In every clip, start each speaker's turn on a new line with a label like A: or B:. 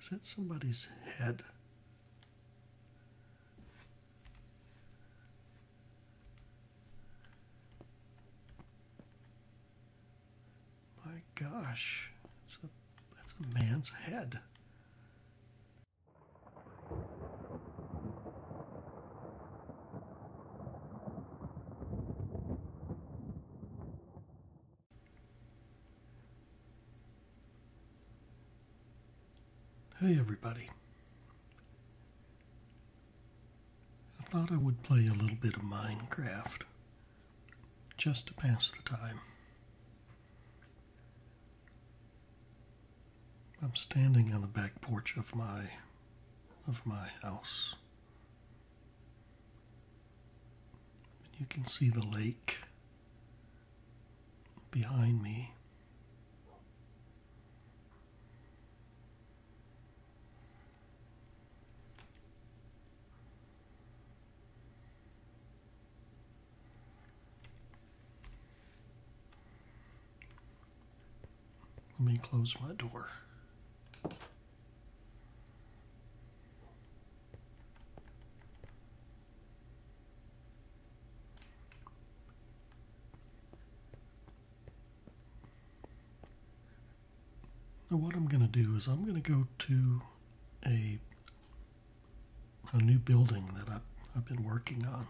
A: Is that somebody's head? My gosh, that's a, man's head. Hey everybody. I thought I would play a little bit of Minecraft just to pass the time. I'm standing on the back porch of my of my house you can see the lake behind me. Let me close my door. Now what I'm going to do is I'm going to go to a a new building that I've, I've been working on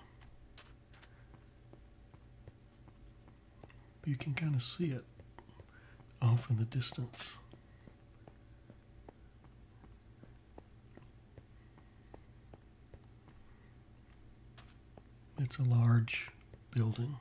A: you can kind of see it off in the distance. It's a large building.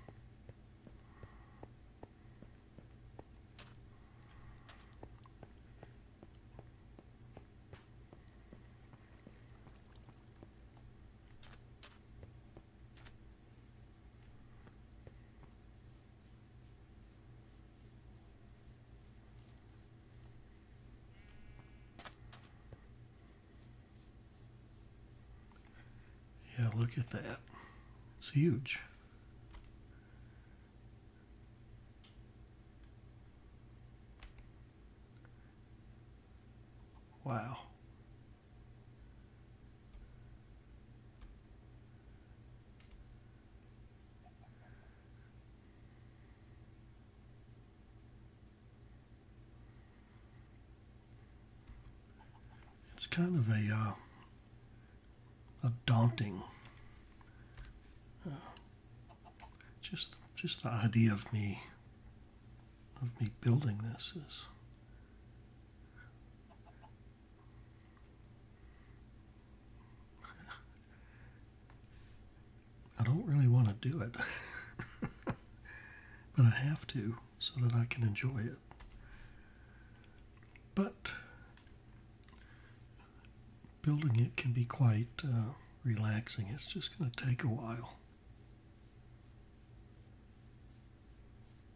A: Yeah, look at that. It's huge. Wow. It's kind of a uh, a daunting uh, just just the idea of me of me building this is I don't really want to do it, but I have to so that I can enjoy it. But building it can be quite uh, relaxing, it's just going to take a while.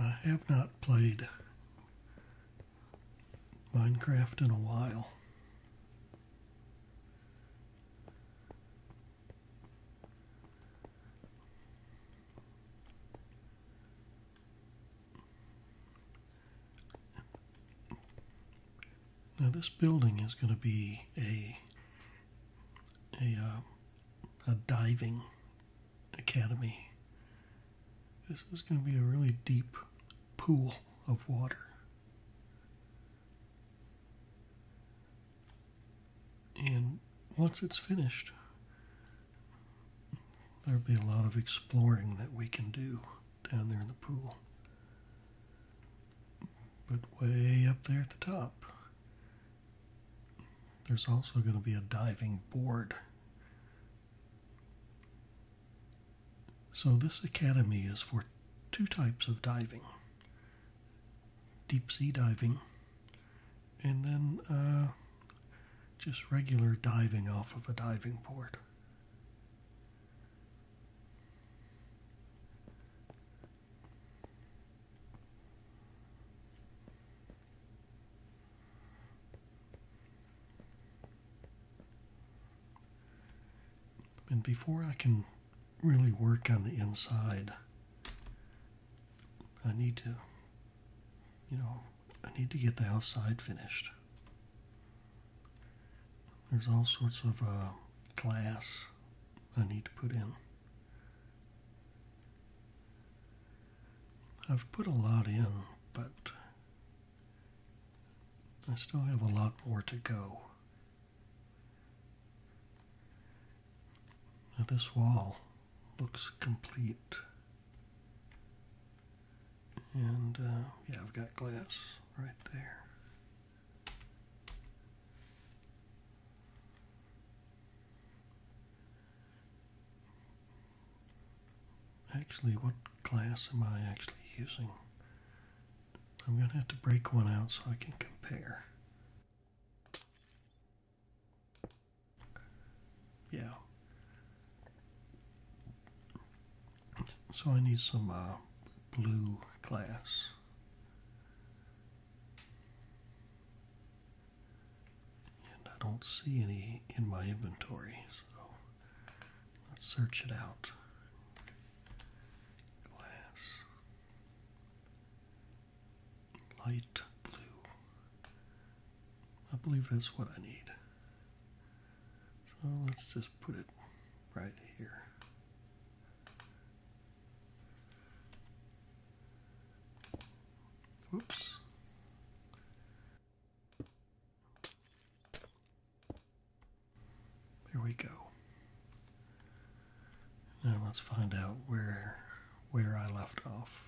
A: I have not played Minecraft in a while. Now this building is going to be a a uh, a diving academy. This is going to be a really deep pool of water. And once it's finished, there'll be a lot of exploring that we can do down there in the pool. But way up there at the top, there's also going to be a diving board. So, this academy is for two types of diving deep sea diving, and then uh, just regular diving off of a diving board. And before I can really work on the inside, I need to, you know, I need to get the outside finished. There's all sorts of uh, glass I need to put in. I've put a lot in, but I still have a lot more to go. this wall looks complete. And uh, yeah, I've got glass right there. Actually, what glass am I actually using? I'm going to have to break one out so I can compare. Yeah. So I need some uh, blue glass. And I don't see any in my inventory, so let's search it out. Glass. Light blue. I believe that's what I need. So let's just put it right here. Oops. There we go. Now let's find out where where I left off.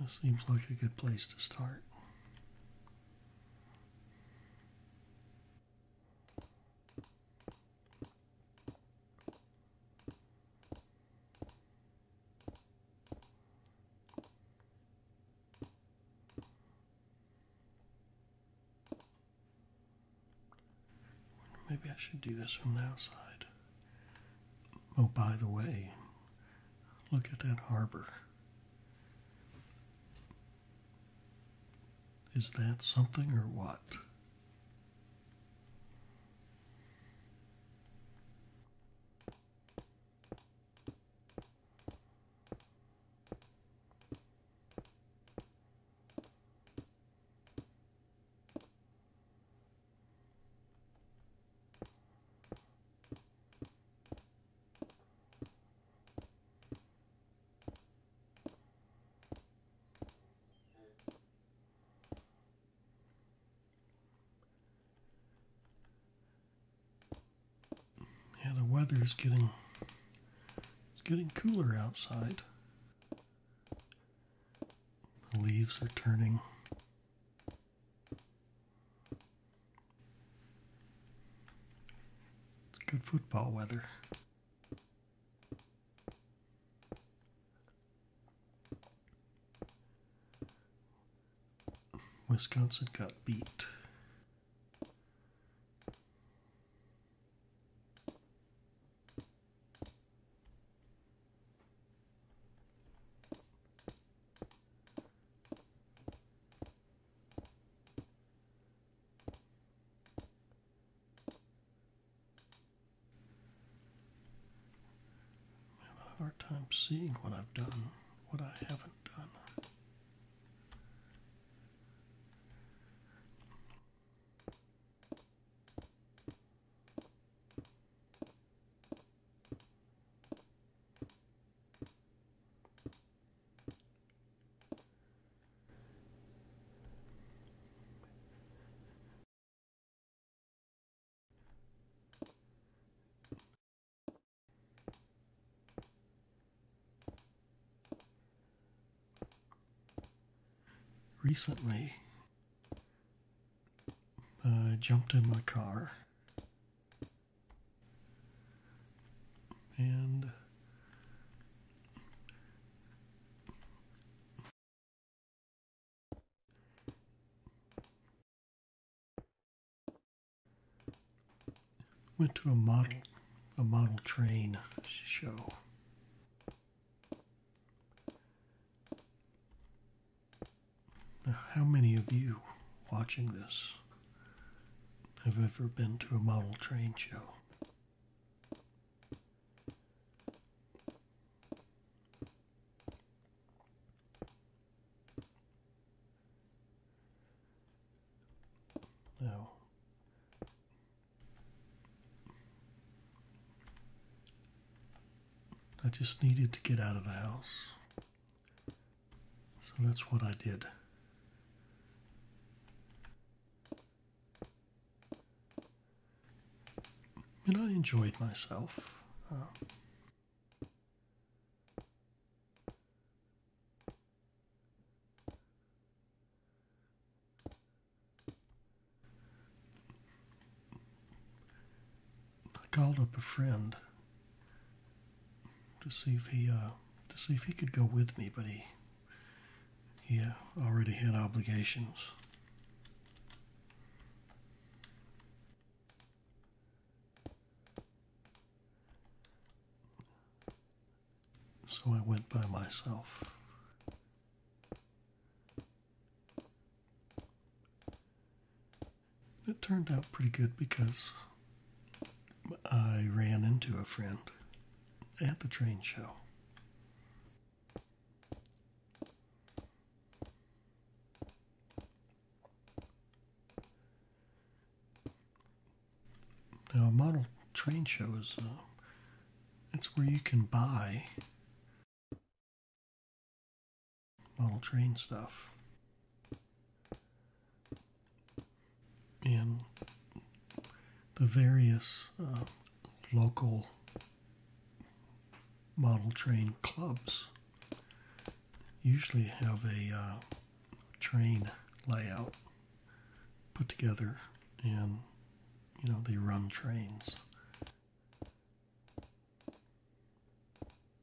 A: That seems like a good place to start. Maybe I should do this from the outside. Oh, by the way, look at that harbor. Is that something or what? Yeah, the weather is getting it's getting cooler outside. The leaves are turning it's good football weather. Wisconsin got beat. I have a hard time seeing what I've done, what I haven't done. Recently, I jumped in my car and went to a model a model train show how many of you watching this have ever been to a model train show? Now, I just needed to get out of the house. So that's what I did. And I enjoyed myself. I called up a friend to see if he uh, to see if he could go with me, but he he uh, already had obligations. So I went by myself. It turned out pretty good because I ran into a friend at the train show. Now, a model train show is uh, it's where you can buy model train stuff. And the various uh, local model train clubs usually have a uh, train layout put together and you know they run trains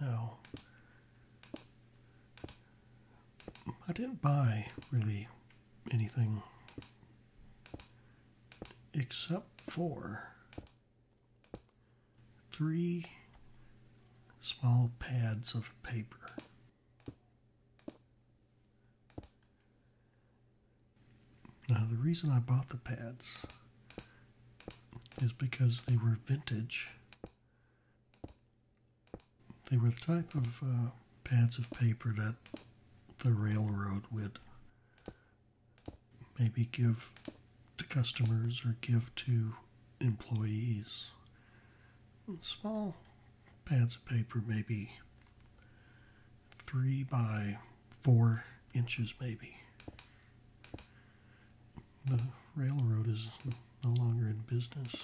A: Now, I didn't buy really anything except for three small pads of paper. Now, the reason I bought the pads is because they were vintage. They were the type of uh, pads of paper that the railroad would maybe give to customers or give to employees. Small pads of paper, maybe three by four inches maybe. The railroad is no longer in business.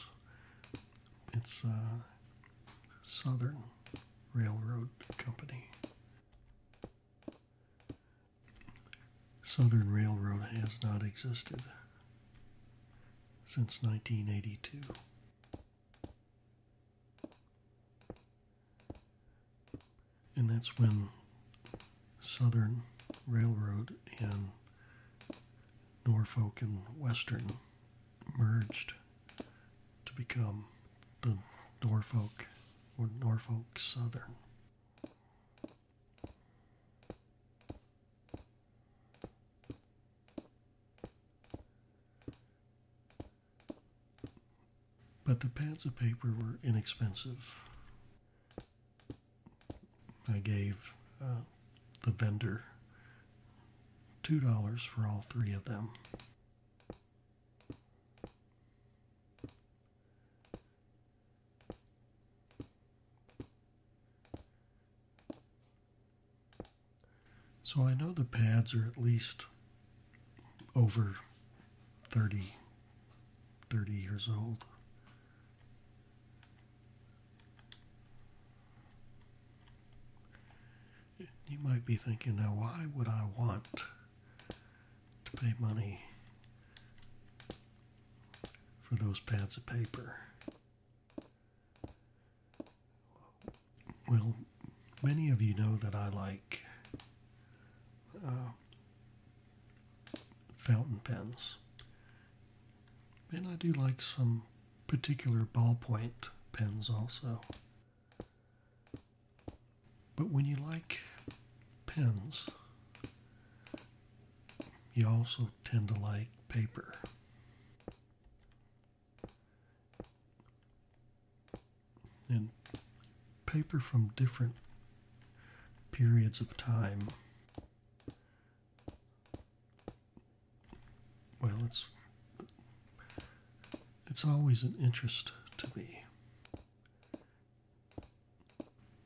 A: It's uh, Southern Railroad Company. Southern Railroad has not existed since 1982. And that's when Southern Railroad and Norfolk and Western merged to become the Norfolk or Norfolk Southern. But the pads of paper were inexpensive. I gave uh, the vendor $2 for all three of them. So I know the pads are at least over 30, years old. You might be thinking, now why would I want to pay money for those pads of paper? Well, many of you know that I like uh, fountain pens. And I do like some particular ballpoint pens also. But when you like pens, you also tend to like paper and paper from different periods of time. Well, it's it's always an interest to me.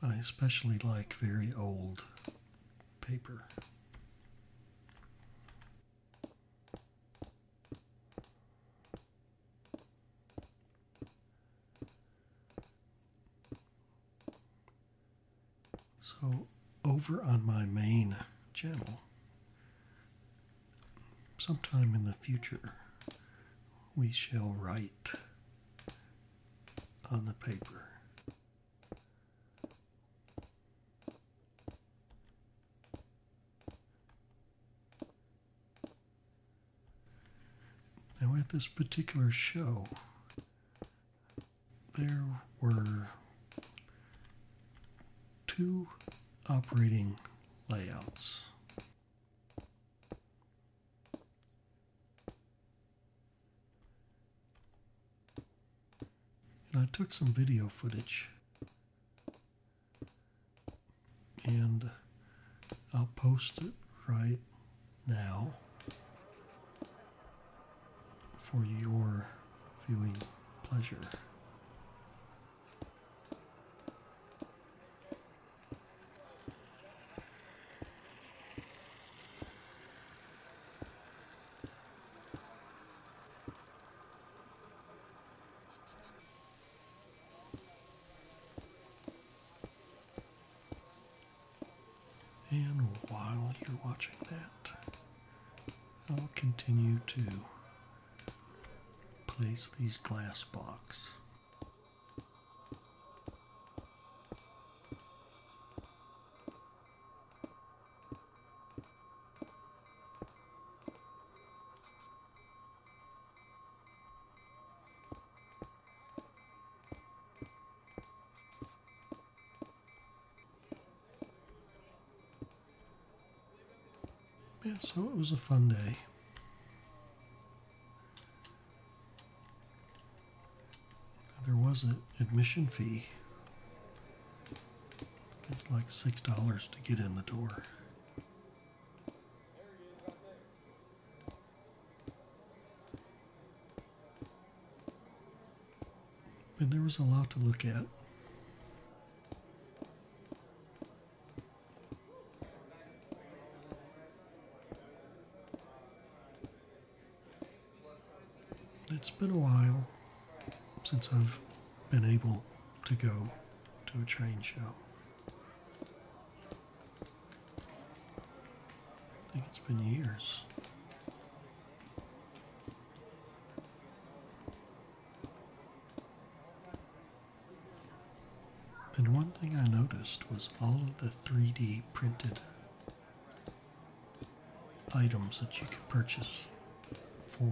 A: I especially like very old paper. So over on my main channel, sometime in the future, we shall write on the paper. Now, at this particular show, there were two operating layouts. And I took some video footage and I'll post it right now for your viewing pleasure. And while you're watching that, I'll continue to place these glass blocks. Yeah, so it was a fun day. There was an admission fee. It's like $6 to get in the door. And there was a lot to look at. It's been a while since I've been able to go to a train show. I think it's been years. And one thing I noticed was all of the 3D printed items that you could purchase for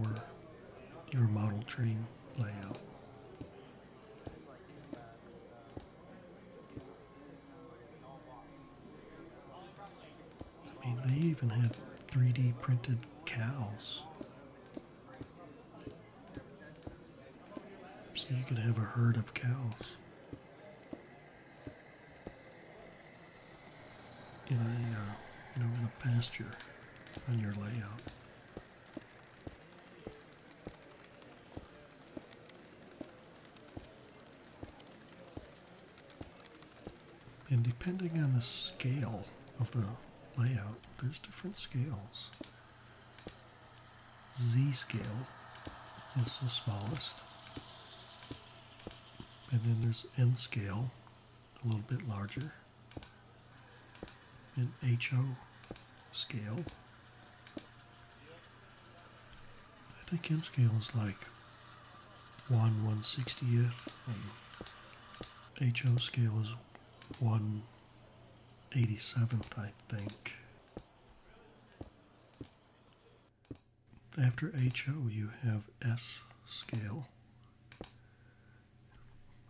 A: your model train layout. I mean, they even had 3D printed cows. So you could have a herd of cows. In a, uh, you know, in a pasture on your layout. And depending on the scale of the layout, there's different scales. Z scale is the smallest. And then there's N scale, a little bit larger. In HO scale. I think N scale is like 1 160th and HO scale is 1 87th, I think. After HO, you have S scale,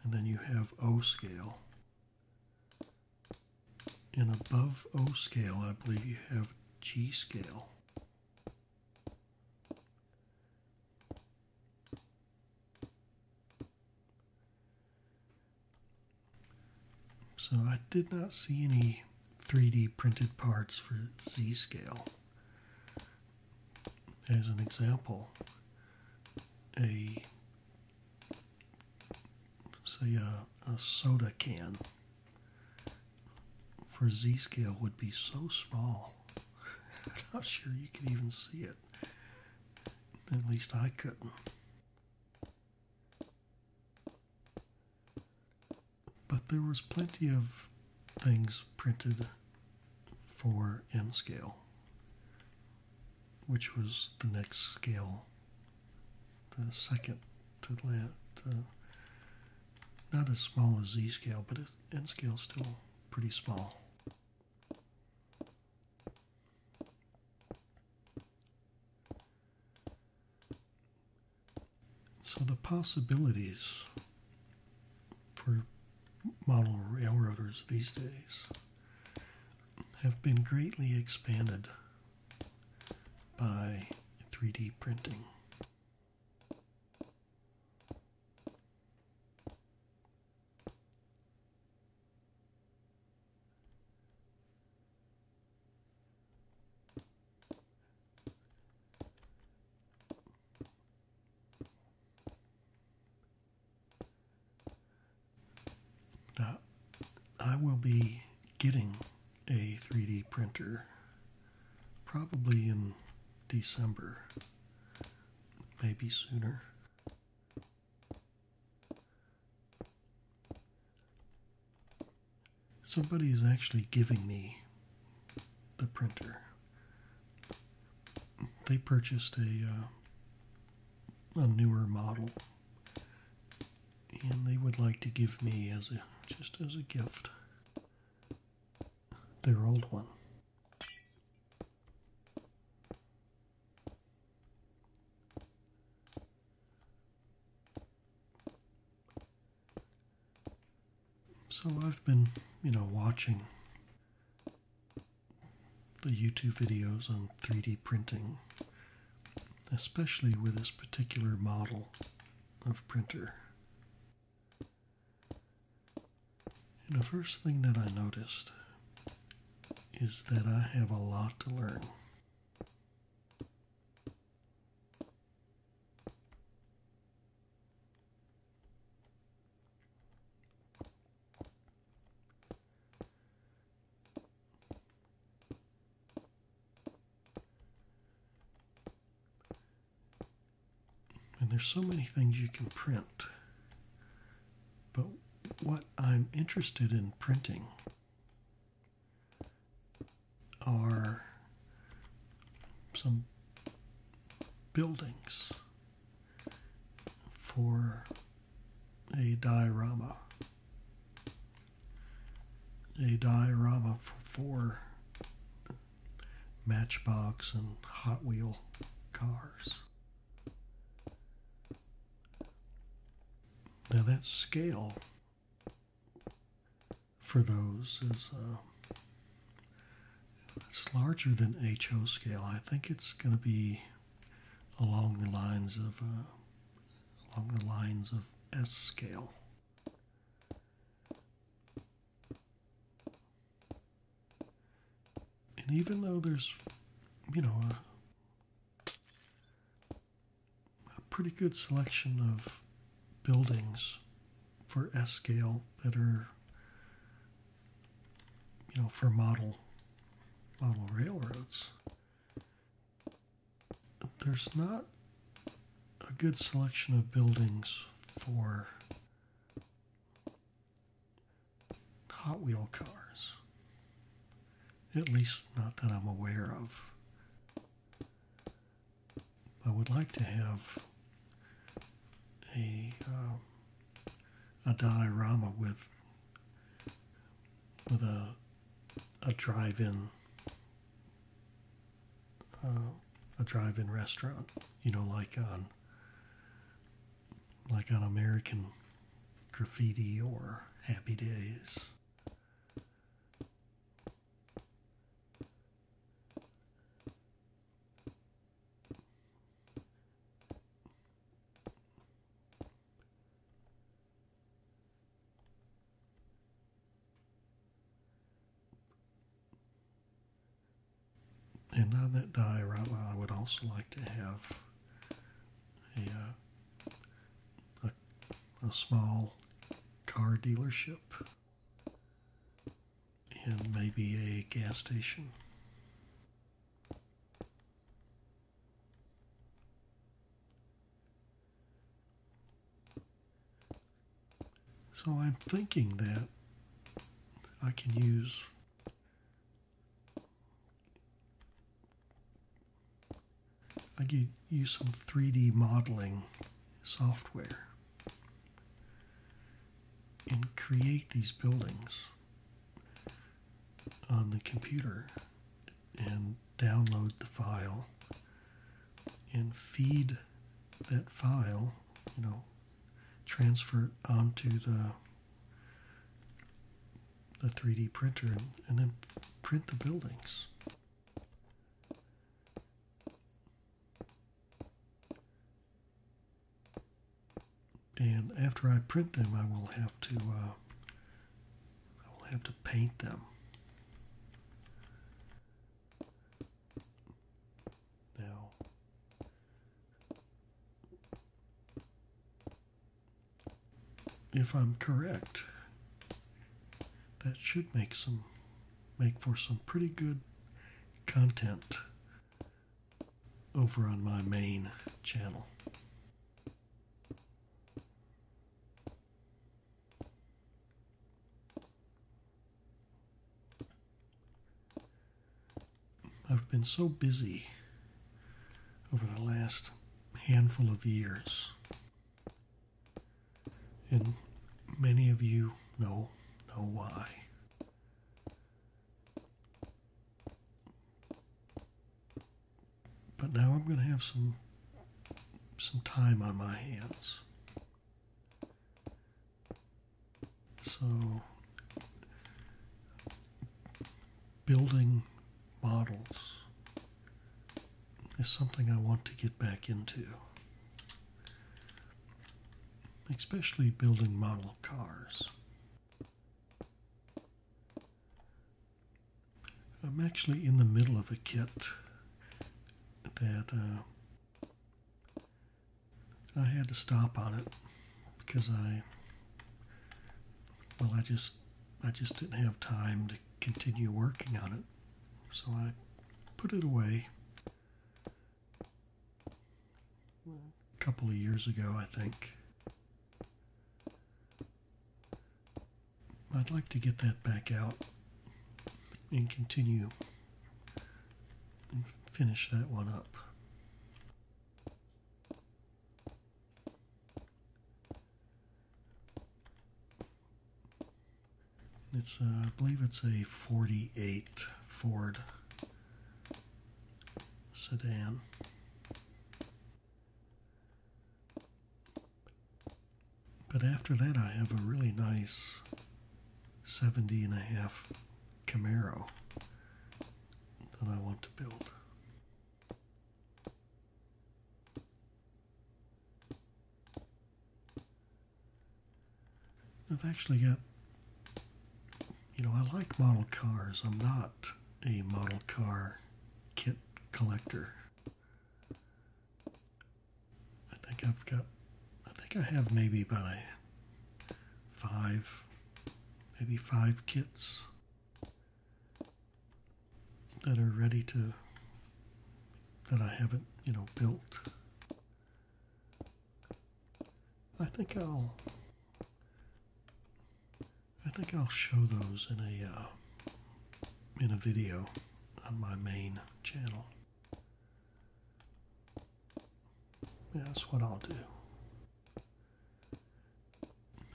A: and then you have O scale. And above O scale, I believe you have G scale. So I did not see any 3D printed parts for Z scale. As an example, a say a, soda can for Z scale would be so small. I'm not sure you could even see it. At least I couldn't. But there was plenty of things printed for N scale, which was the next scale the second to last, uh, not as small as Z scale, but N scale is still pretty small. So the possibilities for model railroaders these days have been greatly expanded by 3D printing. Uh, I will be getting a 3D printer probably in December, maybe sooner. Somebody is actually giving me the printer. They purchased a uh, a newer model and they would like to give me as a just as a gift their old one. So I've been, you know, watching the YouTube videos on 3D printing especially with this particular model of printer. And the first thing that I noticed is that I have a lot to learn. And there's so many things you can print. But what I'm interested in printing are some buildings for a diorama a diorama for four Matchbox and Hot Wheel cars. Now that scale for those is uh, it's larger than HO scale. I think it's going to be along the lines of uh, along the lines of S scale. And even though there's, you know, a, pretty good selection of buildings for S scale that are, you know, for model model railroads there's not a good selection of buildings for Hot Wheel cars. At least, not that I'm aware of. I would like to have a uh, a diorama with with a a drive-in uh, a drive-in restaurant you know like on like on American graffiti or happy days and on that die right I would also like to have uh, a, a small car dealership and maybe a gas station. So I'm thinking that I can use I could use some 3D modeling software and create these buildings on the computer and download the file and feed that file, you know, transfer it onto the the 3D printer and, then print the buildings. And after I print them, I will have to uh, I will have to paint them. Now, if I'm correct, that should make some make for some pretty good content over on my main channel. I've been so busy over the last handful of years. And many of you know know why. But now I'm going to have some some time on my hands. So building models is something I want to get back into. Especially building model cars. I'm actually in the middle of a kit that uh, I had to stop on it because I well I just I just didn't have time to continue working on it so I put it away a couple of years ago I think I'd like to get that back out and continue and finish that one up. It's, uh, I believe it's a 48 Ford sedan. But after that, I have a really nice 70 Camaro that I want to build. I've actually got, you know, I like model cars. I'm not a model car kit collector. I think I've got, I think I have maybe about five, maybe five kits that are ready to, that I haven't, you know, built. I think I'll, I think I'll show those in a, uh, in a video on my main channel. that's what I'll do.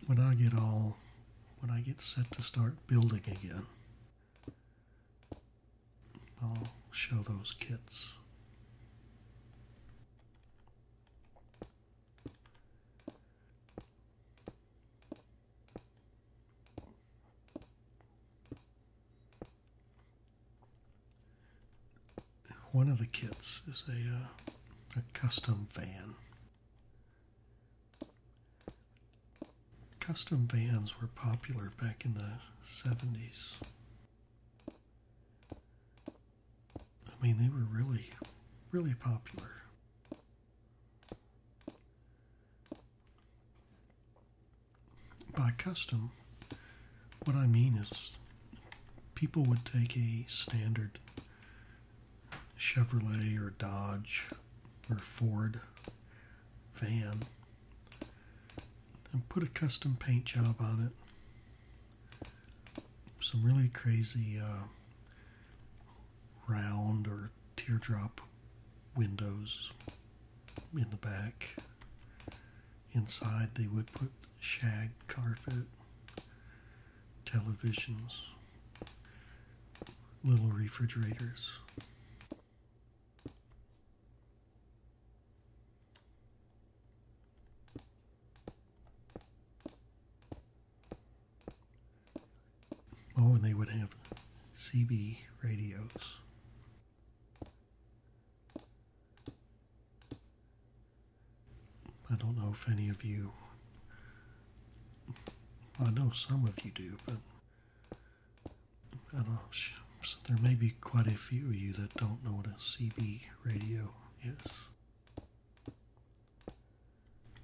A: When I get all, when I get set to start building again, I'll show those kits. One of the kits is a, uh, a custom van. Custom vans were popular back in the 70s. I mean, they were really, really popular. By custom, what I mean is people would take a standard Chevrolet or Dodge or Ford van and put a custom paint job on it. Some really crazy uh, round or teardrop windows in the back. Inside, they would put shag carpet, televisions, little refrigerators. Oh, and they would have CB radios. I don't know if any of you, I know some of you do, but I don't there may be quite a few of you that don't know what a CB radio is.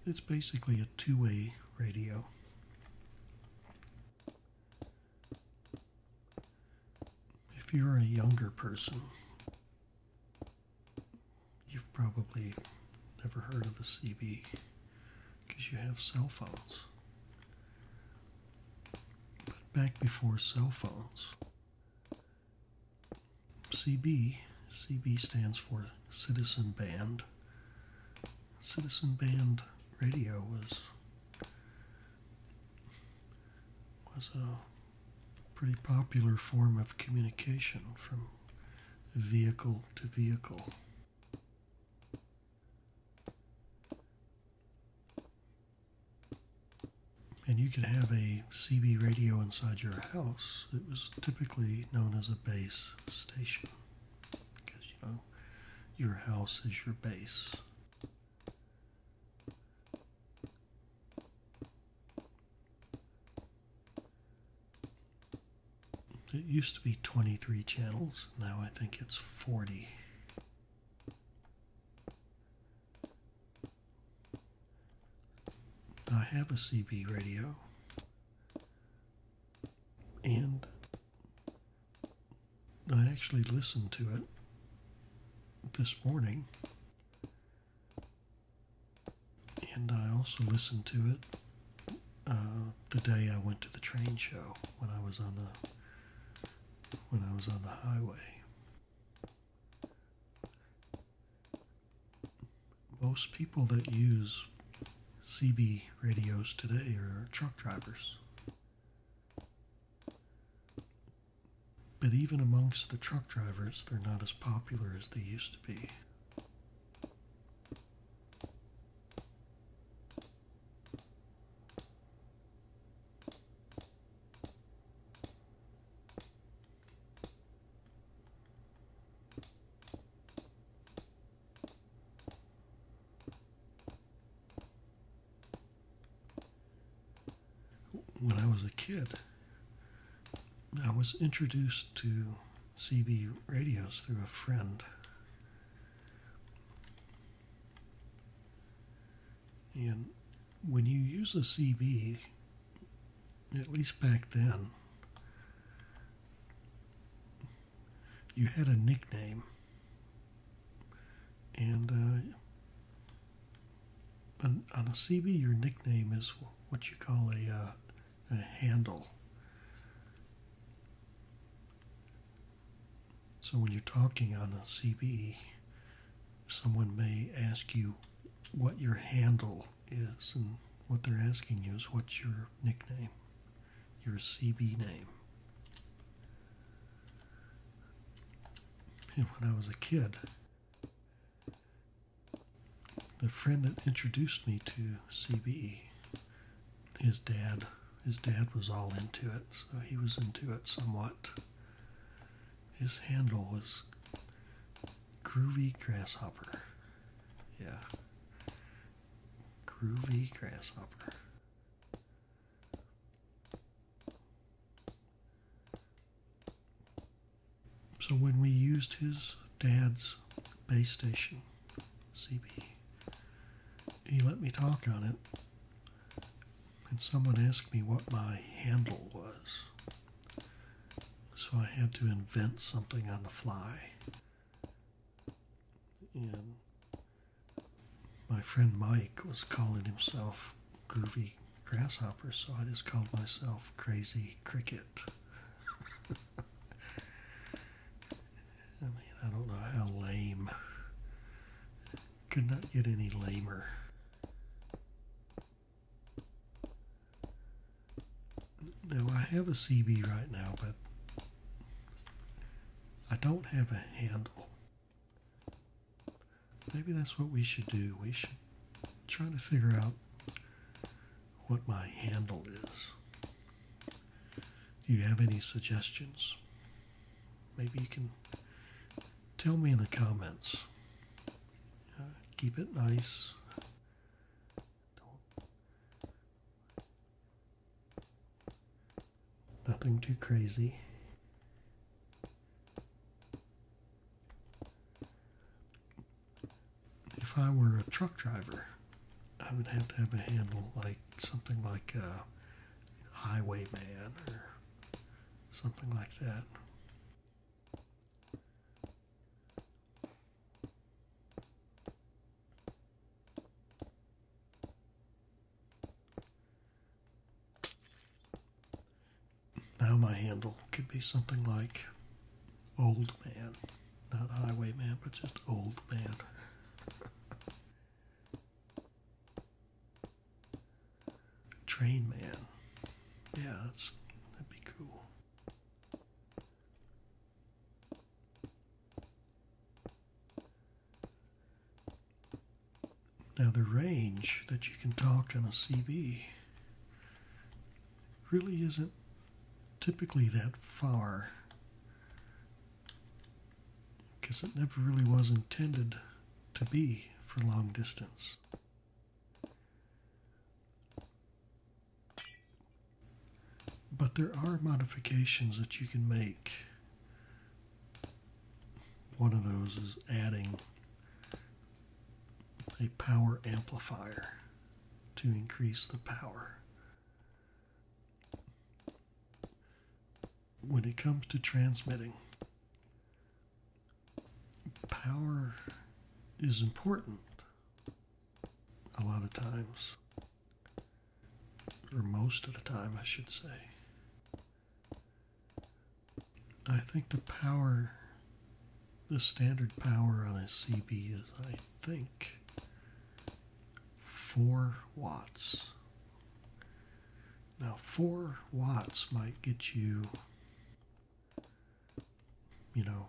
A: It's basically a two way radio. If you're a younger person, you've probably never heard of a CB because you have cell phones. But back before cell phones, CB, CB stands for Citizen Band citizen band radio was was a pretty popular form of communication from vehicle to vehicle. And you could have a CB radio inside your house. It was typically known as a base station because you know your house is your base. It used to be 23 channels, now I think it's 40. I have a CB radio and I actually listened to it this morning. And I also listened to it uh, the day I went to the train show when I was on the when I was on the highway. Most people that use CB radios today are truck drivers. But even amongst the truck drivers, they're not as popular as they used to be. When I was a kid, I was introduced to CB radios through a friend. And when you use a CB, at least back then, you had a nickname, and uh, on, a CB, your nickname is what you call uh, a handle. So when you're talking on a CB, someone may ask you what your handle is, and what they're asking you is what's your nickname your CB name. when I was a kid, the friend that introduced me to CB, his dad, his dad was all into it, so he was into it somewhat. His handle was Groovy Grasshopper. Yeah. Groovy Grasshopper. So when we used his dad's base station, CB, he let me talk on it, and someone asked me what my handle was. So I had to invent something on the fly. And my friend Mike was calling himself Groovy Grasshopper, so I just called myself Crazy Cricket. I mean, I don't know how lame. Could not get any lamer. Now, I have a CB right now, but I don't have a handle. Maybe that's what we should do. We should try to figure out what my handle is. Do you have any suggestions? Maybe you can tell me in the comments. Uh, keep it nice. Don't Nothing too crazy. If I were a truck driver, I would have to have a handle like something like a highwayman or something like that. Now my handle could be something like old man, not highwayman, but just old man. Train man. Yeah, that's, that'd be cool. Now, the range that you can talk on a CB really isn't typically that far because it never really was intended to be for long distance. But there are modifications that you can make one of those is adding a power amplifier to increase the power. When it comes to transmitting, power is important a lot of times or most of the time, I should say. I think the power, the standard power on a CB is, I think, 4 watts. Now, 4 watts might get you, you know,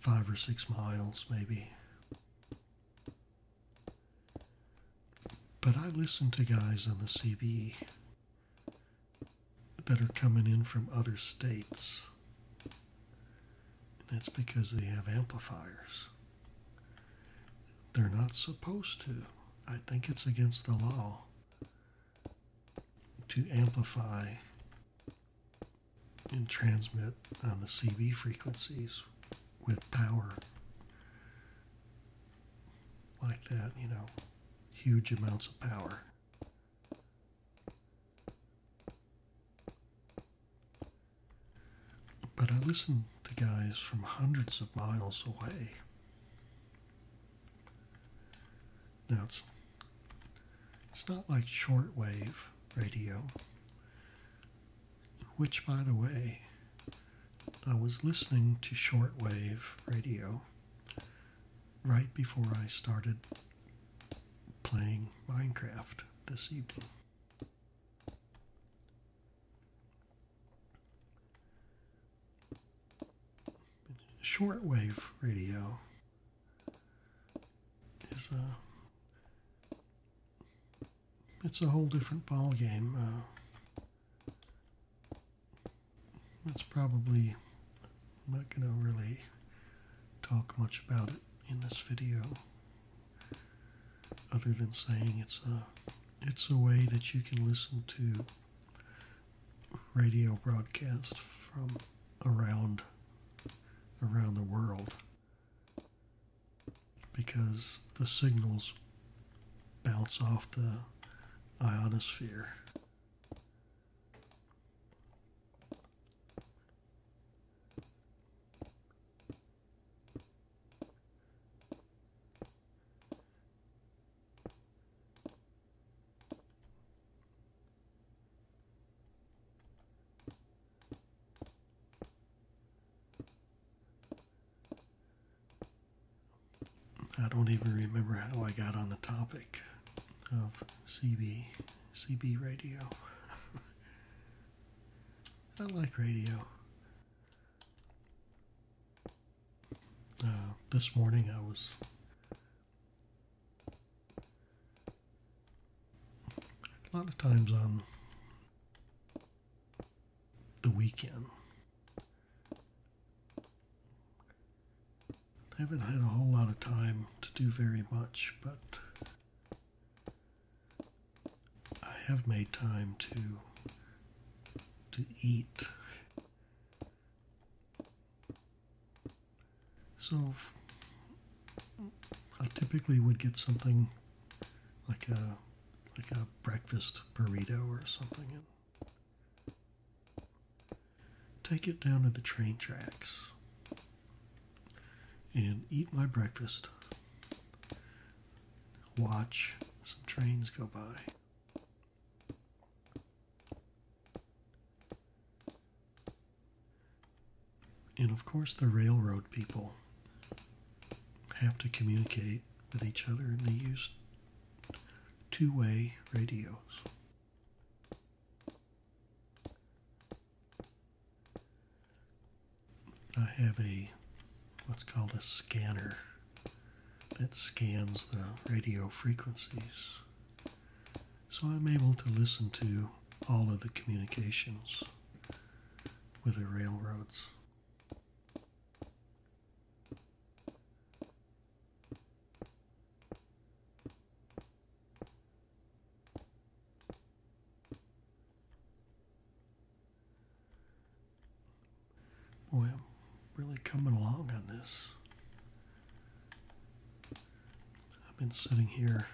A: 5 or 6 miles maybe. But I listen to guys on the CB that are coming in from other states. And that's because they have amplifiers. They're not supposed to. I think it's against the law to amplify and transmit on the CB frequencies with power like that, you know, huge amounts of power. But I listen to guys from hundreds of miles away. Now it's it's not like shortwave radio, which, by the way, I was listening to shortwave radio right before I started playing Minecraft this evening. Shortwave radio is a it's a whole different ball game. Uh, that's probably not going to really talk much about it in this video, other than saying it's a it's a way that you can listen to radio broadcasts from around around the world because the signals bounce off the ionosphere. I don't even remember how I got on the topic of CB CB radio. I like radio. Uh, this morning I was a lot of times on the weekend. I haven't had a whole lot of time to do very much, but I have made time to to eat. So I typically would get something like a like a breakfast burrito or something, and take it down to the train tracks and eat my breakfast. Watch some trains go by. And of course, the railroad people have to communicate with each other and they use two way radios. I have a what's called a scanner that scans the radio frequencies. So I'm able to listen to all of the communications with the railroads. Boy, I'm really coming along on this. I've been sitting here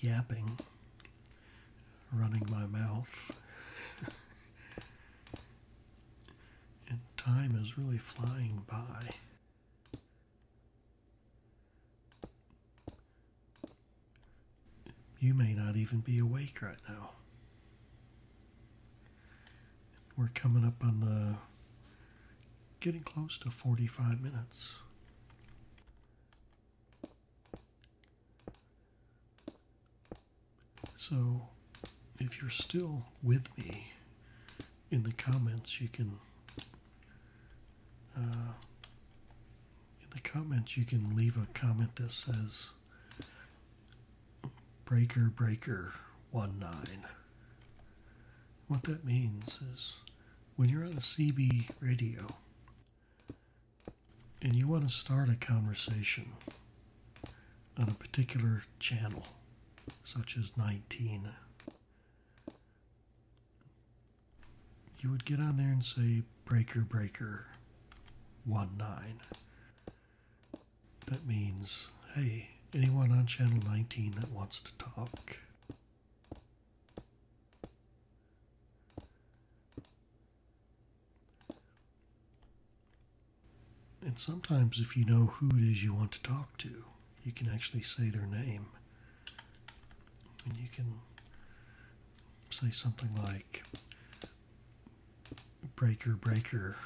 A: yapping running my mouth. and time is really flying by. You may not even be awake right now. We're coming up on the getting close to 45 minutes. So, if you're still with me in the comments, you can. Uh, in the comments, you can leave a comment that says Breaker Breaker 1 9. What that means is when you're on a CB radio, and you want to start a conversation on a particular channel, such as 19, you would get on there and say, Breaker, Breaker, 1 9. That means, hey, anyone on channel 19 that wants to talk. And sometimes, if you know who it is you want to talk to, you can actually say their name. And you can say something like, Breaker, breaker,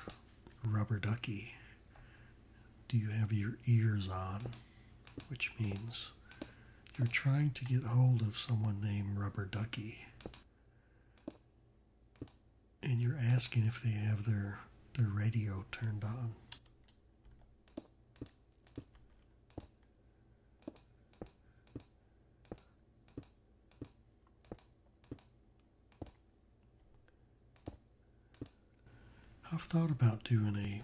A: rubber ducky, do you have your ears on? Which means you're trying to get hold of someone named Rubber Ducky and you're asking if they have their their radio turned on. I've thought about doing a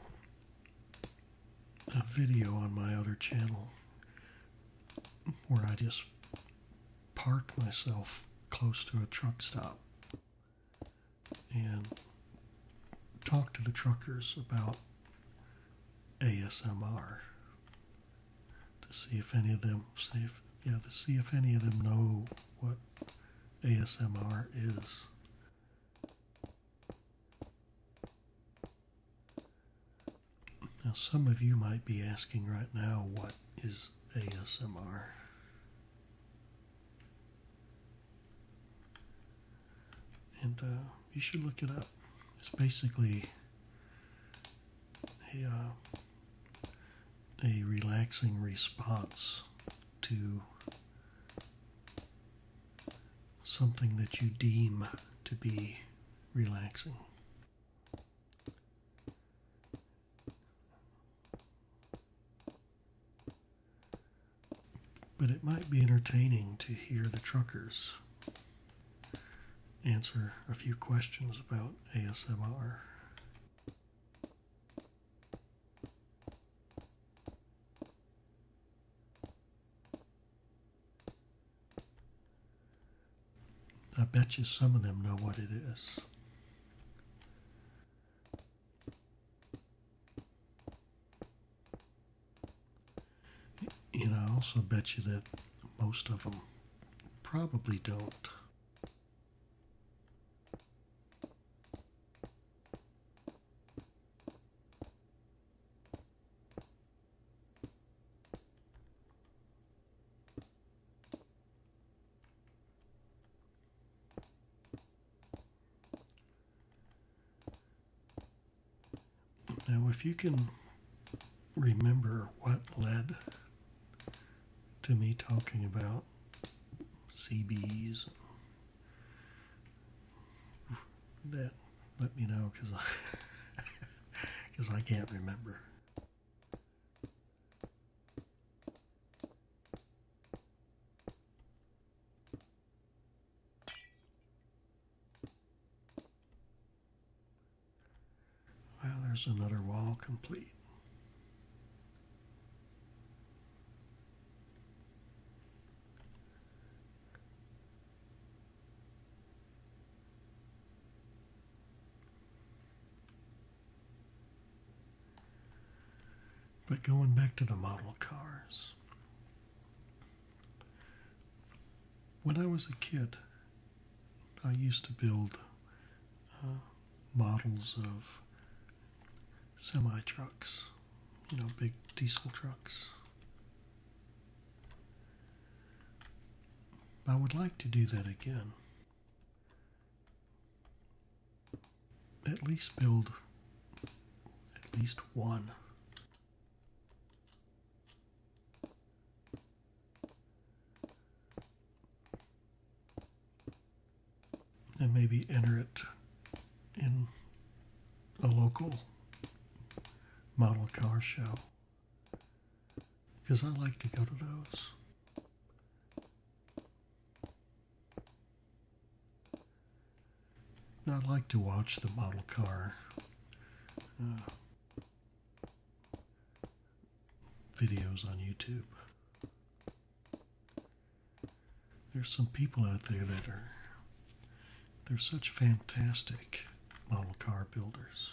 A: a video on my other channel where I just park myself close to a truck stop and talk to the truckers about ASMR to see if any of them see if, yeah to see if any of them know what ASMR is. Now, some of you might be asking right now, what is ASMR? And uh, you should look it up. It's basically a, uh, a relaxing response to something that you deem to be relaxing. But it might be entertaining to hear the truckers answer a few questions about ASMR. I bet you some of them know what it is. And I also bet you that most of them probably don't. Now, if you can remember what led to me talking about CBs, that let me know because I because I can't remember. Well, there's another wall complete. But going back to the model cars, when I was a kid, I used to build uh, models of semi trucks, you know, big diesel trucks. I would like to do that again at least build at least one. And maybe enter it in a local model car show because I like to go to those. I like to watch the model car uh, videos on YouTube. There's some people out there that are they're such fantastic model car builders.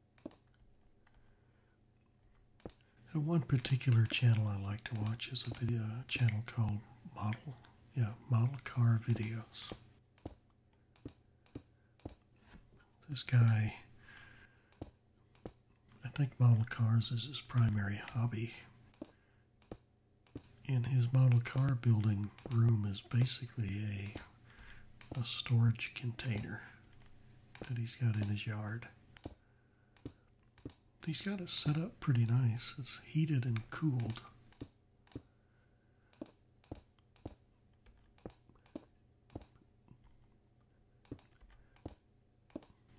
A: one particular channel I like to watch is a video channel called Model, yeah, Model Car Videos. This guy, I think model cars is his primary hobby. And his model car building room is basically a a storage container that he's got in his yard. He's got it set up pretty nice. It's heated and cooled.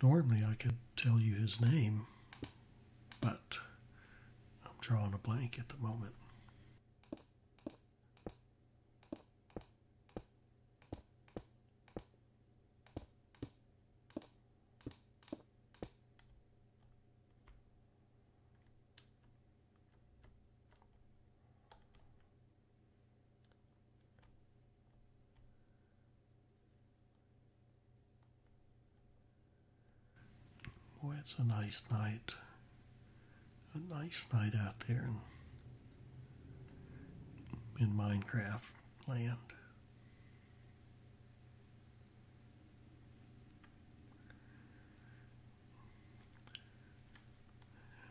A: Normally, I could tell you his name, but I'm drawing a blank at the moment. Boy, it's a nice night a nice night out there in, Minecraft land.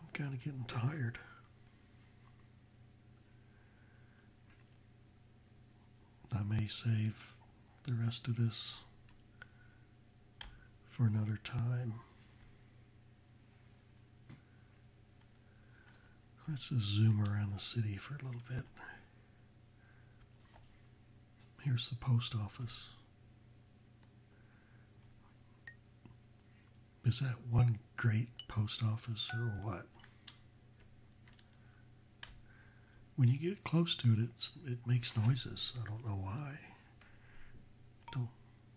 A: I'm kind of getting tired. I may save the rest of this for another time. Let's just zoom around the city for a little bit. Here's the post office. Is that one great post office or what? When you get close to it, it makes noises. I don't know why.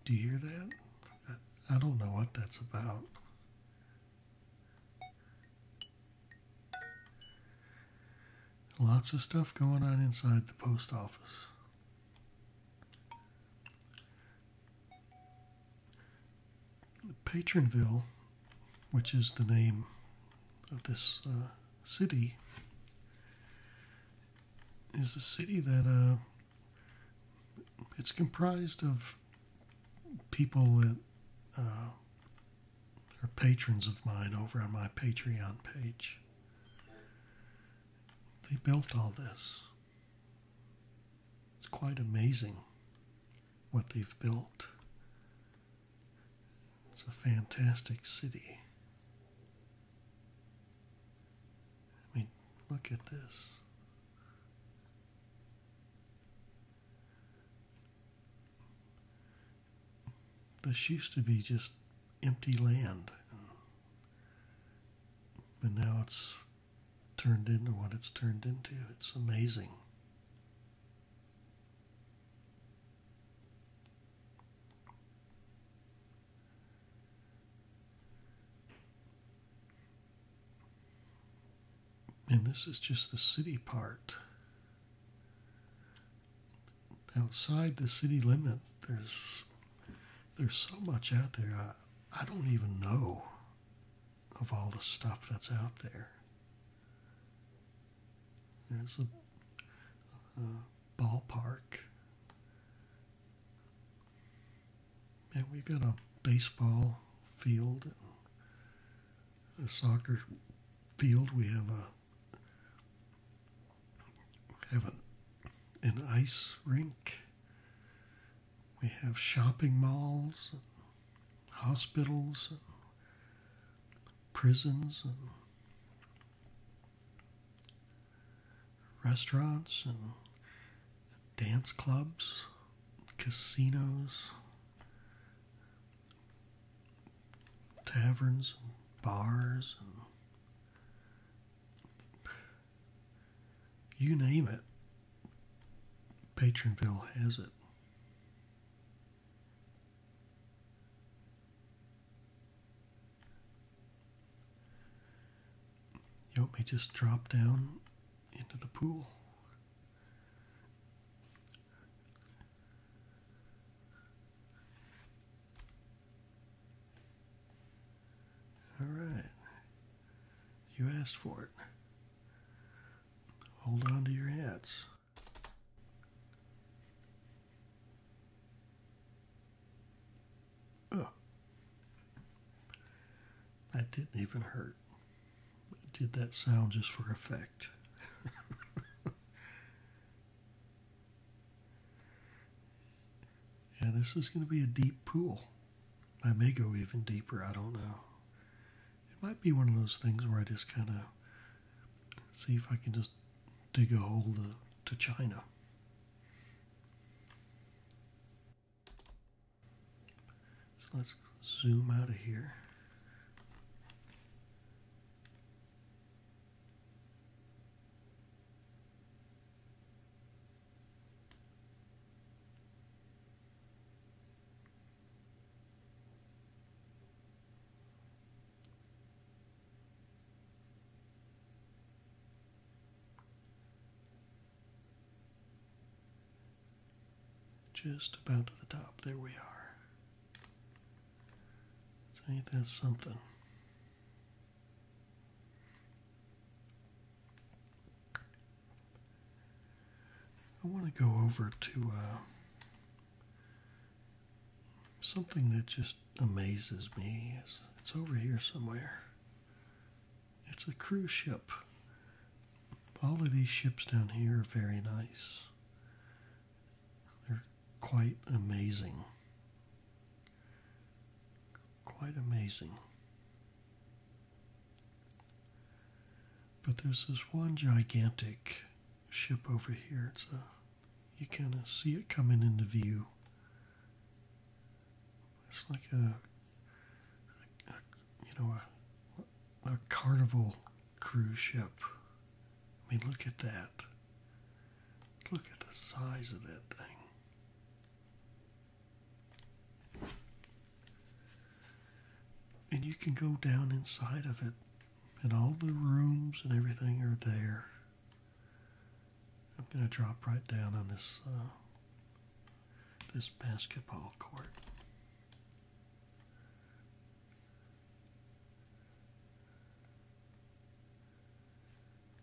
A: Do you hear that? I, don't know what that's about. Lots of stuff going on inside the post office. Patronville, which is the name of this uh, city, is a city that uh, it's comprised of people that uh, are patrons of mine over on my Patreon page. They built all this. It's quite amazing what they've built. It's a fantastic city. I mean, look at this. This used to be just empty land, but now it's turned into what it's turned into. It's amazing. And this is just the city part. Outside the city limit, there's there's so much out there. I, I don't even know of all the stuff that's out there. There's a, a ballpark and we've got a baseball field, a soccer field. We have a have an, an ice rink. We have shopping malls, hospitals, prisons, restaurants and dance clubs, casinos, taverns, and bars, and you name it. Patronville has it. You want just drop down into the pool? All right. You asked for it. Hold on to your hats. Oh, that didn't even hurt. did that sound just for effect. yeah, this is going to be a deep pool. I may go even deeper, I don't know. It might be one of those things where I just kind of see if I can just dig a hole to China. So let's zoom out of here. Just about to the top. There we are. So something? I want to go over to uh, something that just amazes me. It's, it's over here somewhere. It's a cruise ship. All of these ships down here are very nice. They're quite amazing. Quite amazing. But there's this one gigantic ship over here. It's a you kind of see it coming into view. It's like a, you know, a carnival cruise ship. I mean, look at that. Look at the size of that thing. and you can go down inside of it and all the rooms and everything are there I'm going to drop right down on this uh, this basketball court.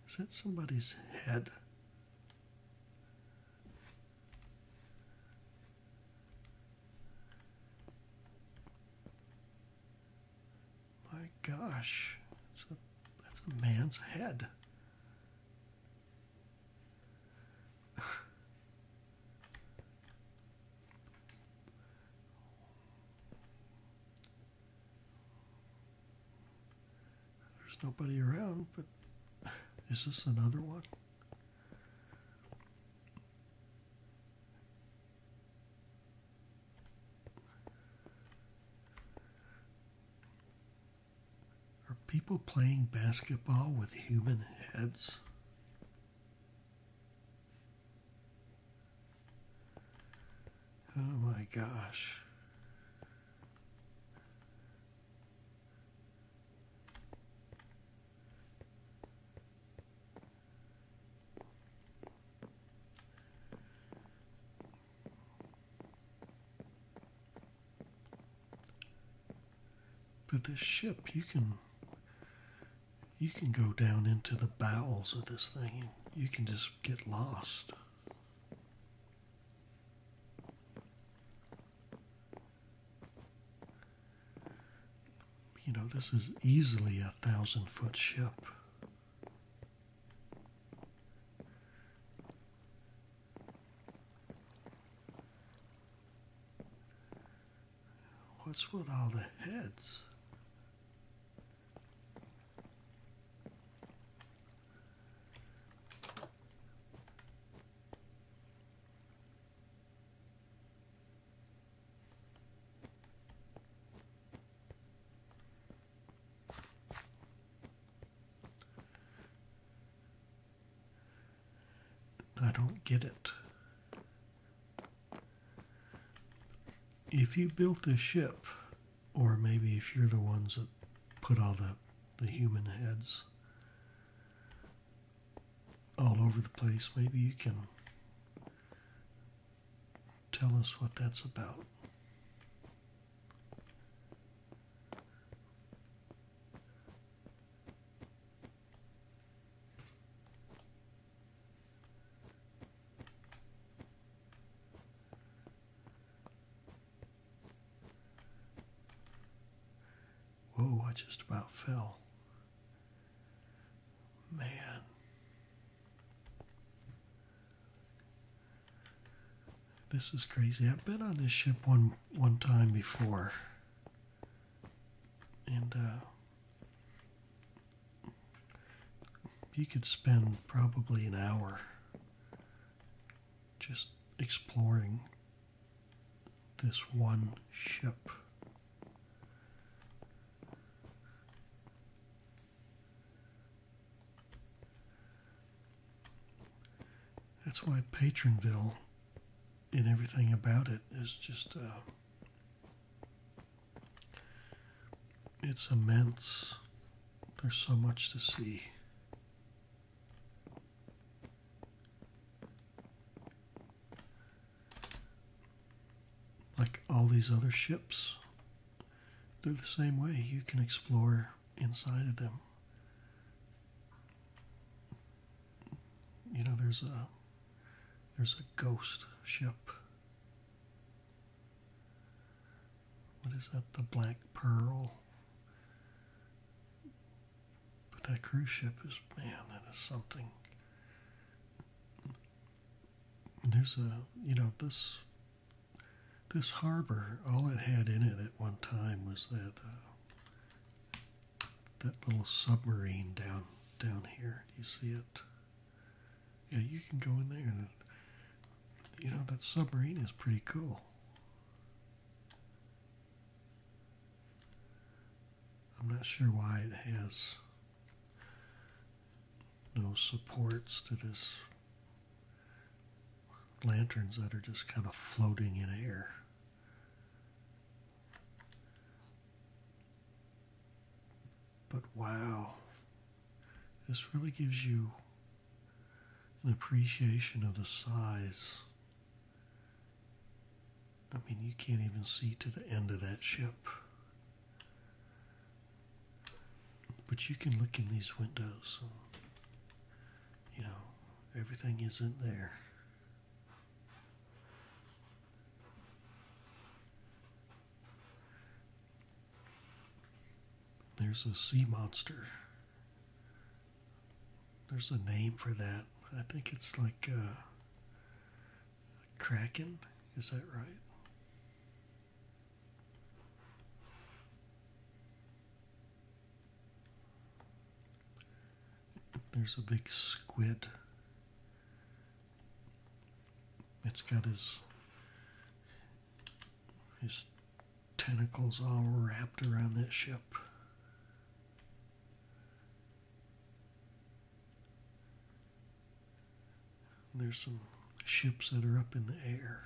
A: Is that somebody's head? My gosh, that's a, that's a man's head. There's nobody around, but is this another one? Are people playing basketball with human heads? Oh my gosh. But this ship, you can you can go down into the bowels of this thing and you can just get lost. You know, this is easily a thousand foot ship. What's with all the heads? I don't get it. If you built this ship, or maybe if you're the ones that put all the, the human heads all over the place, maybe you can tell us what that's about. Whoa, I just about fell. Man. This is crazy. I've been on this ship one one time before, and you uh, could spend probably an hour just exploring this one ship. That's why Patronville and everything about it is just uh, it's immense. There's so much to see. Like all these other ships, they're the same way. You can explore inside of them. You know, there's a there's a ghost ship. What is that? The Black Pearl. But that cruise ship is man, that is something. There's a you know this this harbor. All it had in it at one time was that. Uh, that little submarine down down here. you see it? Yeah, you can go in there. You know that submarine is pretty cool. I'm not sure why it has no supports to this lanterns that are just kind of floating in air. But wow, this really gives you an appreciation of the size. I mean, you can't even see to the end of that ship. But you can look in these windows you know, everything isn't there. There's a sea monster. There's a name for that. I think it's like a uh, kraken. Is that right? There's a big squid. It's got his his tentacles all wrapped around that ship. There's some ships that are up in the air.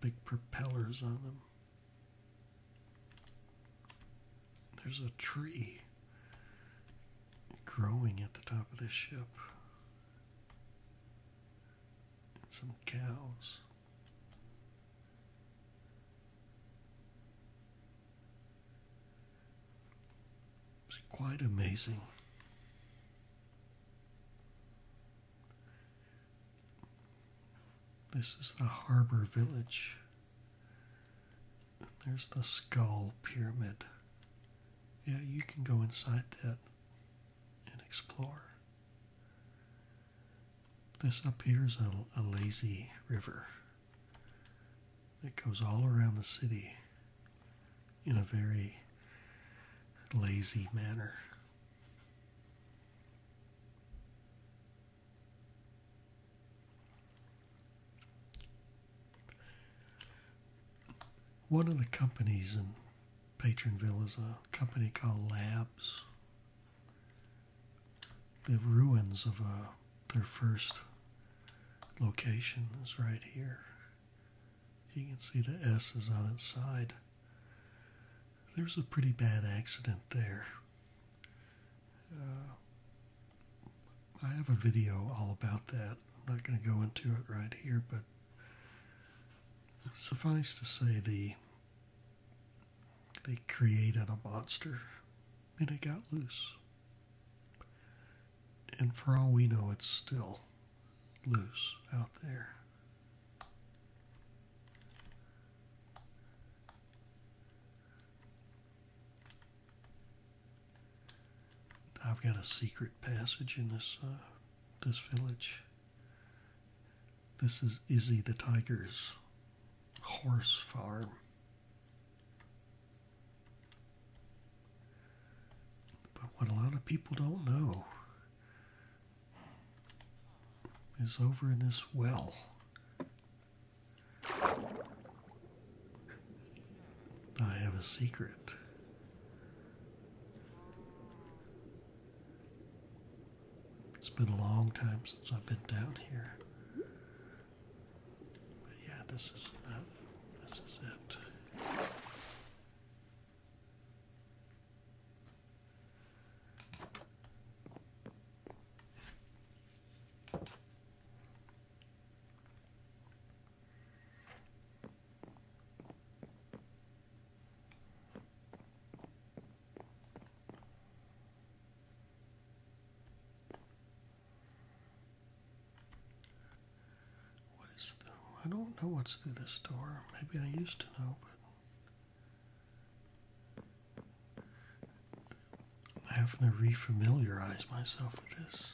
A: Big propellers on them. There's a tree growing at the top of this ship. And some cows. It's quite amazing. This is the harbor village. And there's the skull pyramid. Yeah, you can go inside that and explore. This up here is a, a lazy river that goes all around the city in a very lazy manner. One of the companies in Patronville is a company called Labs. The ruins of uh, their first location is right here. You can see the S is on its side there's a pretty bad accident there. Uh, I have a video all about that. I'm not going to go into it right here, but suffice to say, the they created a monster and it got loose. And for all we know, it's still loose out there. I've got a secret passage in this uh, this village. This is Izzy the Tiger's horse farm. But what a lot of people don't know is over in this well. I have a secret. It's been a long time since I've been down here. But yeah, this is uh, this is it. What is the? I don't know what's through this door. Maybe I used to know, but I'm having to refamiliarize myself with this.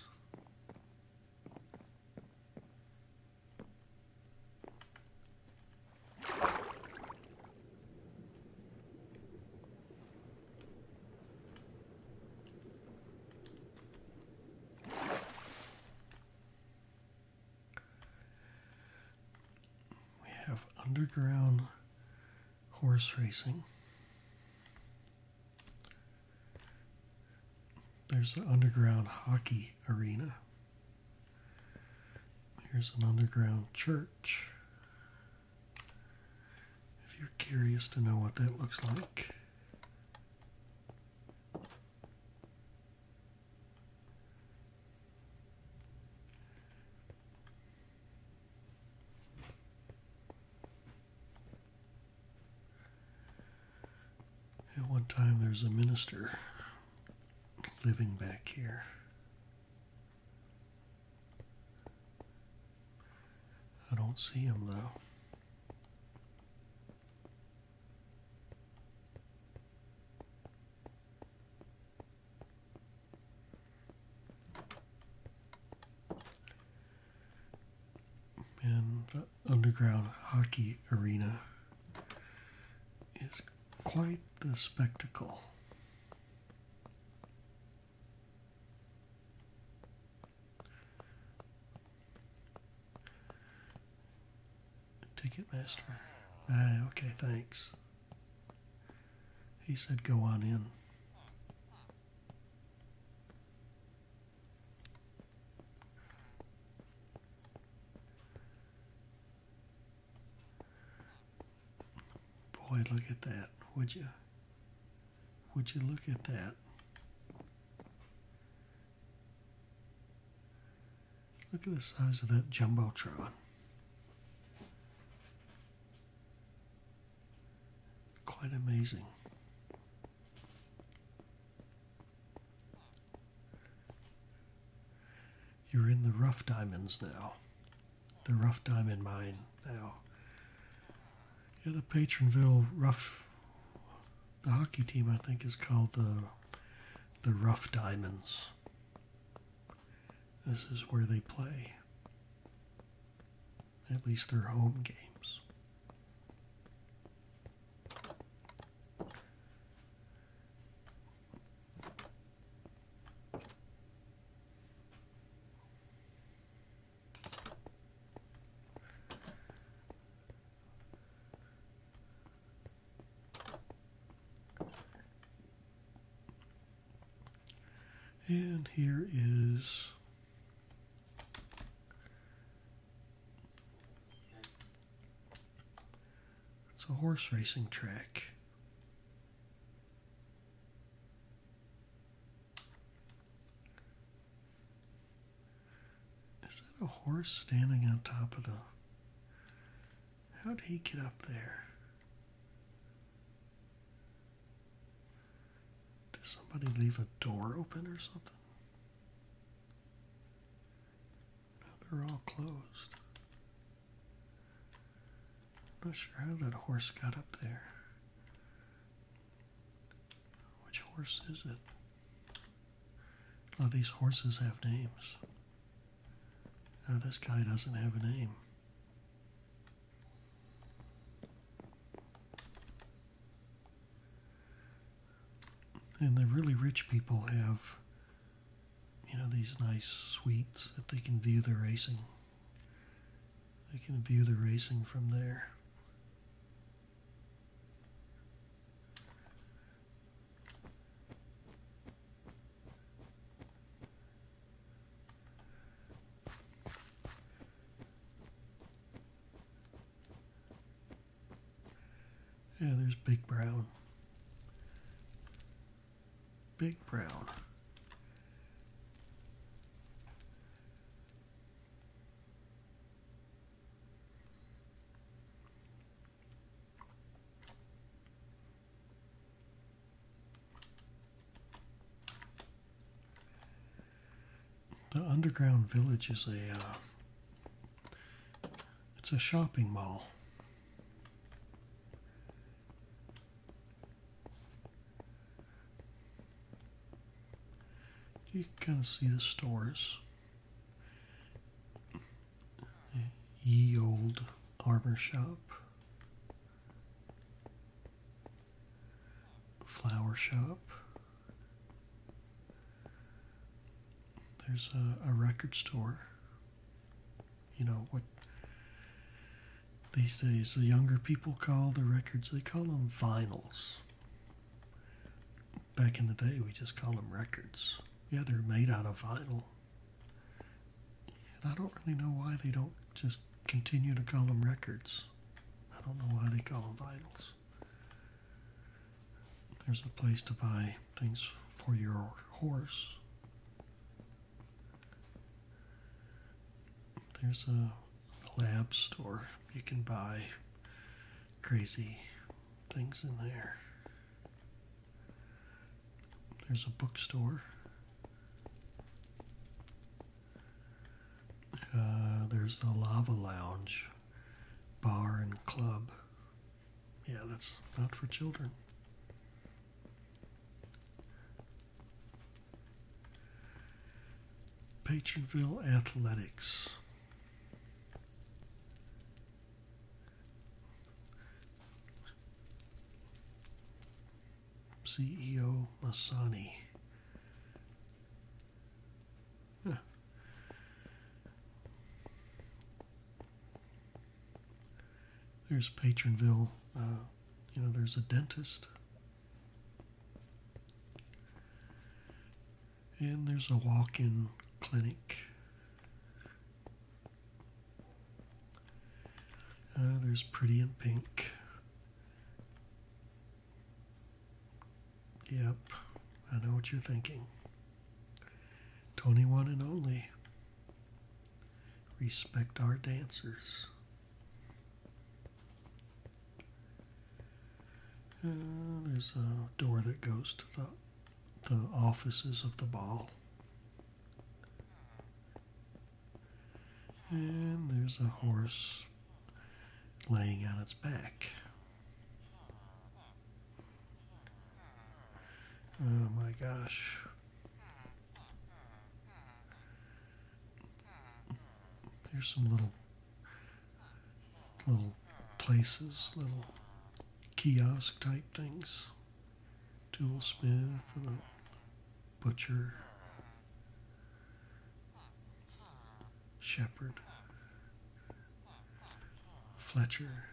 A: We have underground horse racing. There's an underground hockey arena. Here's an underground church. If you're curious to know what that looks like. At one time, there's a minister living back here. I don't see him though. And the underground hockey arena is quite the spectacle. Ticketmaster. Ah, okay, thanks. He said, Go on in. Boy, look at that, would you? Would you look at that? Look at the size of that Jumbotron. Quite amazing. You're in the rough diamonds now. The rough diamond mine now. Yeah, the Patronville rough. The hockey team, I think, is called the the Rough Diamonds. This is where they play, at least their home games. And here is it's a horse racing track. Is that a horse standing on top of the How'd he get up there? Did somebody leave a door open or something? they're all closed. not sure how that horse got up there. Which horse is it? Oh, these horses have names. Now this guy doesn't have a name. And the really rich people have, you know, these nice suites that they can view the racing. They can view the racing from there. Yeah, there's Big Brown. Big Brown. The underground village is a uh, it's a shopping mall. You can kind of see the stores. Ye old armor shop flower shop. There's a, record store. You know what these days the younger people call the records, they call them vinyls. Back in the day, we just called them records. Yeah, they're made out of vinyl. And I don't really know why they don't just continue to call them records. I don't know why they call them vinyls. There's a place to buy things for your horse. There's a lab store. You can buy crazy things in there. There's a bookstore. Uh, there's the Lava Lounge bar and club. Yeah, that's not for children. Patronville Athletics. CEO Masani. There's Patronville. Uh, you know, there's a dentist. And there's a walk in clinic. Uh, there's pretty in pink. Yep, I know what you're thinking. 21 and only. Respect our dancers. Uh, there's a door that goes to the, the offices of the ball. And there's a horse laying on its back. Oh my gosh. There's some little little places, little kiosk type things. Smith and a butcher, shepherd, Fletcher,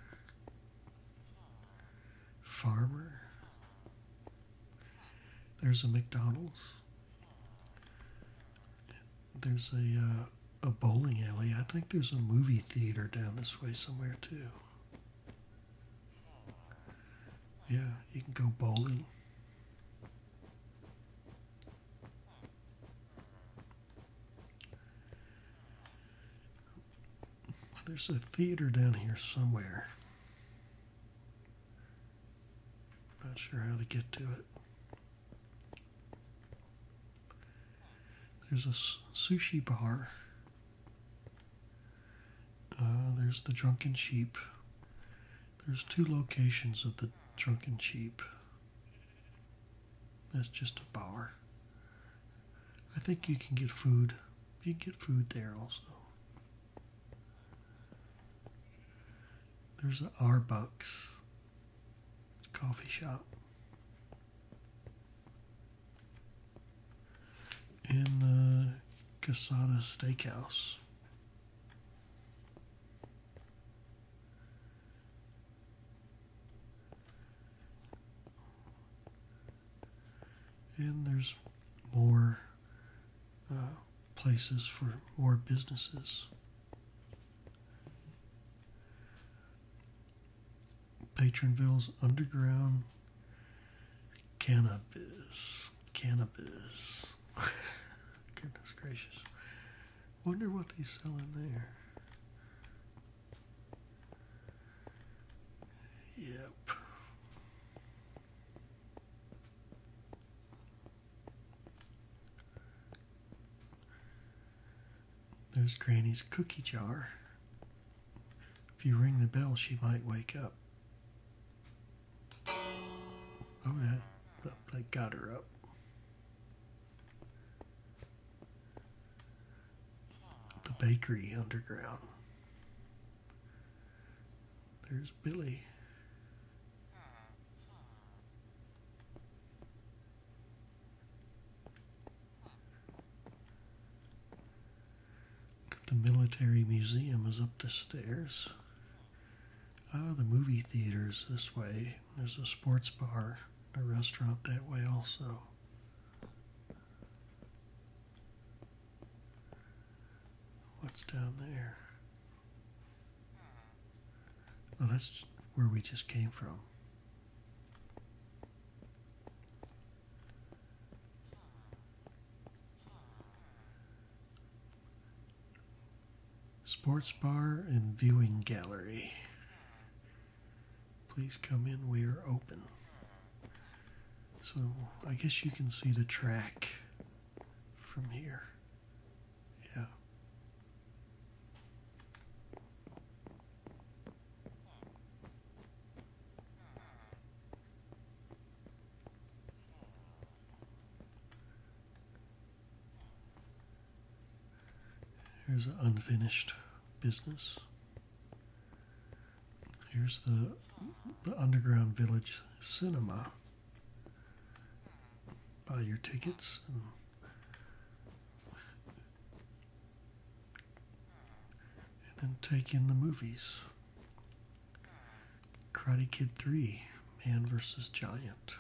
A: farmer. There's a McDonald's. There's a uh, a bowling alley. I think there's a movie theater down this way somewhere too. Yeah, you can go bowling. There's a theater down here somewhere. Not sure how to get to it. There's a sushi bar uh, there's the Drunken Sheep. There's two locations of the Drunken Sheep. That's just a bar. I think you can get food. You can get food there also. There's a Arbucks coffee shop. In the Casada Steakhouse. And there's more uh, places for more businesses. Patronville's underground Cannabis. Cannabis. Goodness gracious. Wonder what they sell in there. Yep. There's Granny's cookie jar. If you ring the bell, she might wake up. Oh, that, that got her up. The bakery underground. There's Billy. The military museum is up the stairs. Ah, the movie theater's this way. There's a sports bar, a restaurant that way also. What's down there? Well, oh, that's where we just came from. Sports bar and viewing gallery. Please come in, we are open. So I guess you can see the track from here. Yeah. Here's an unfinished business. Here's the the underground village cinema. Buy your tickets and then take in the movies. Karate Kid 3 Man vs. Giant.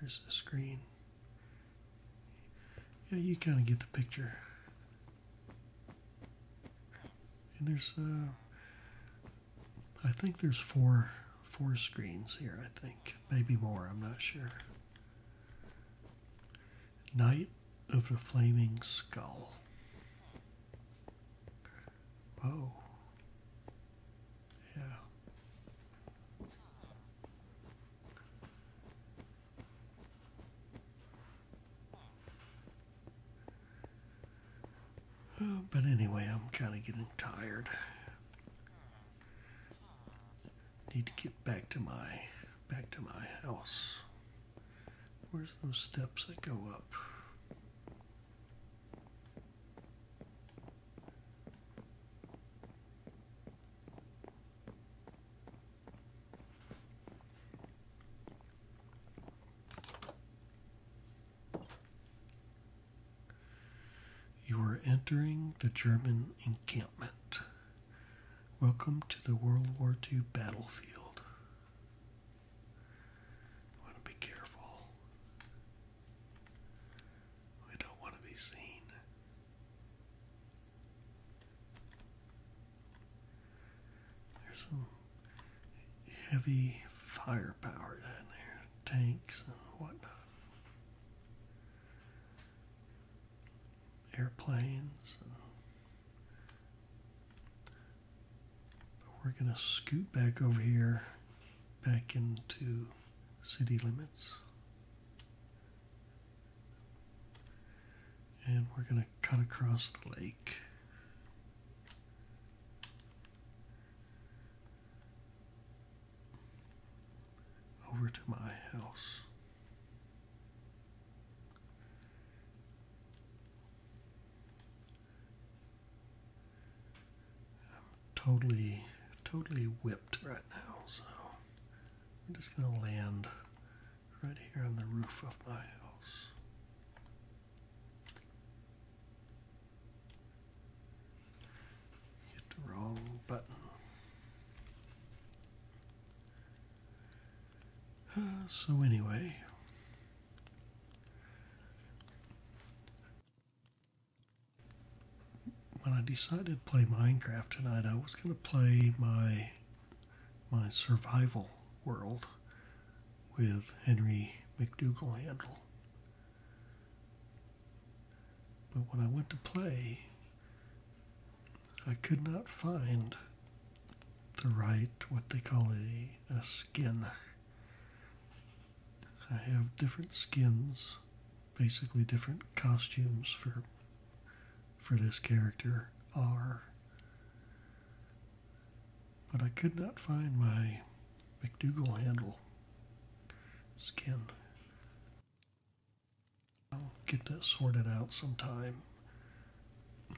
A: There's a screen. Yeah, you kind of get the picture. And there's, uh, I think there's four, four screens here, I think. Maybe more, I'm not sure. Knight of the Flaming Skull. Oh. Yeah. but anyway, I'm kind of getting tired. Need to get back to my back to my house. Where's those steps that go up? You are entering the German encampment. Welcome to the World War II battlefield. want to be careful. I don't want to be seen. There's some heavy firepower down there, tanks and whatnot. Airplanes but we're going to scoot back over here, back into city limits. And we're going to cut across the lake. over to my house. I'm totally, totally whipped right now, so I'm just going to land right here on the roof of my house. Hit the wrong button. so, anyway. When I decided to play Minecraft tonight, I was going to play my my survival world with Henry McDougall Handle. But when I went to play, I could not find the right, what they call a, a skin. I have different skins, basically different costumes for for this character are. But I could not find my McDougal handle skin. I'll get that sorted out sometime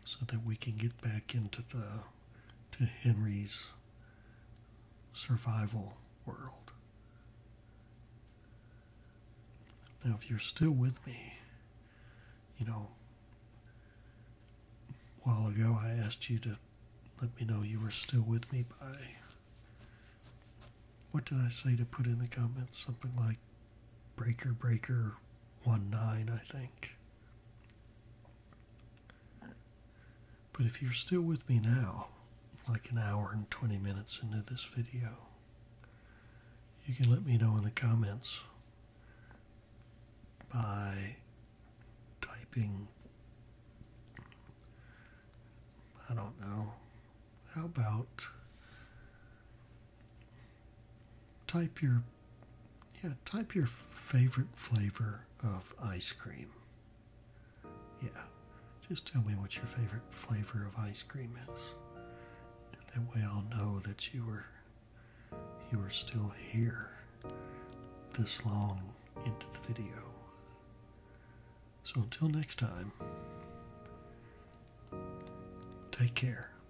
A: so that we can get back into the to Henry's survival world. Now if you're still with me, you know a while ago I asked you to let me know you were still with me by what did I say to put in the comments? Something like Breaker Breaker 1 9, I think. But if you're still with me now, like an hour and 20 minutes into this video, you can let me know in the comments by typing, I don't know, how about type your yeah, type your favorite flavor of ice cream. Yeah. Just tell me what your favorite flavor of ice cream is. That way I'll know that you were you are still here this long into the video. So until next time, take care.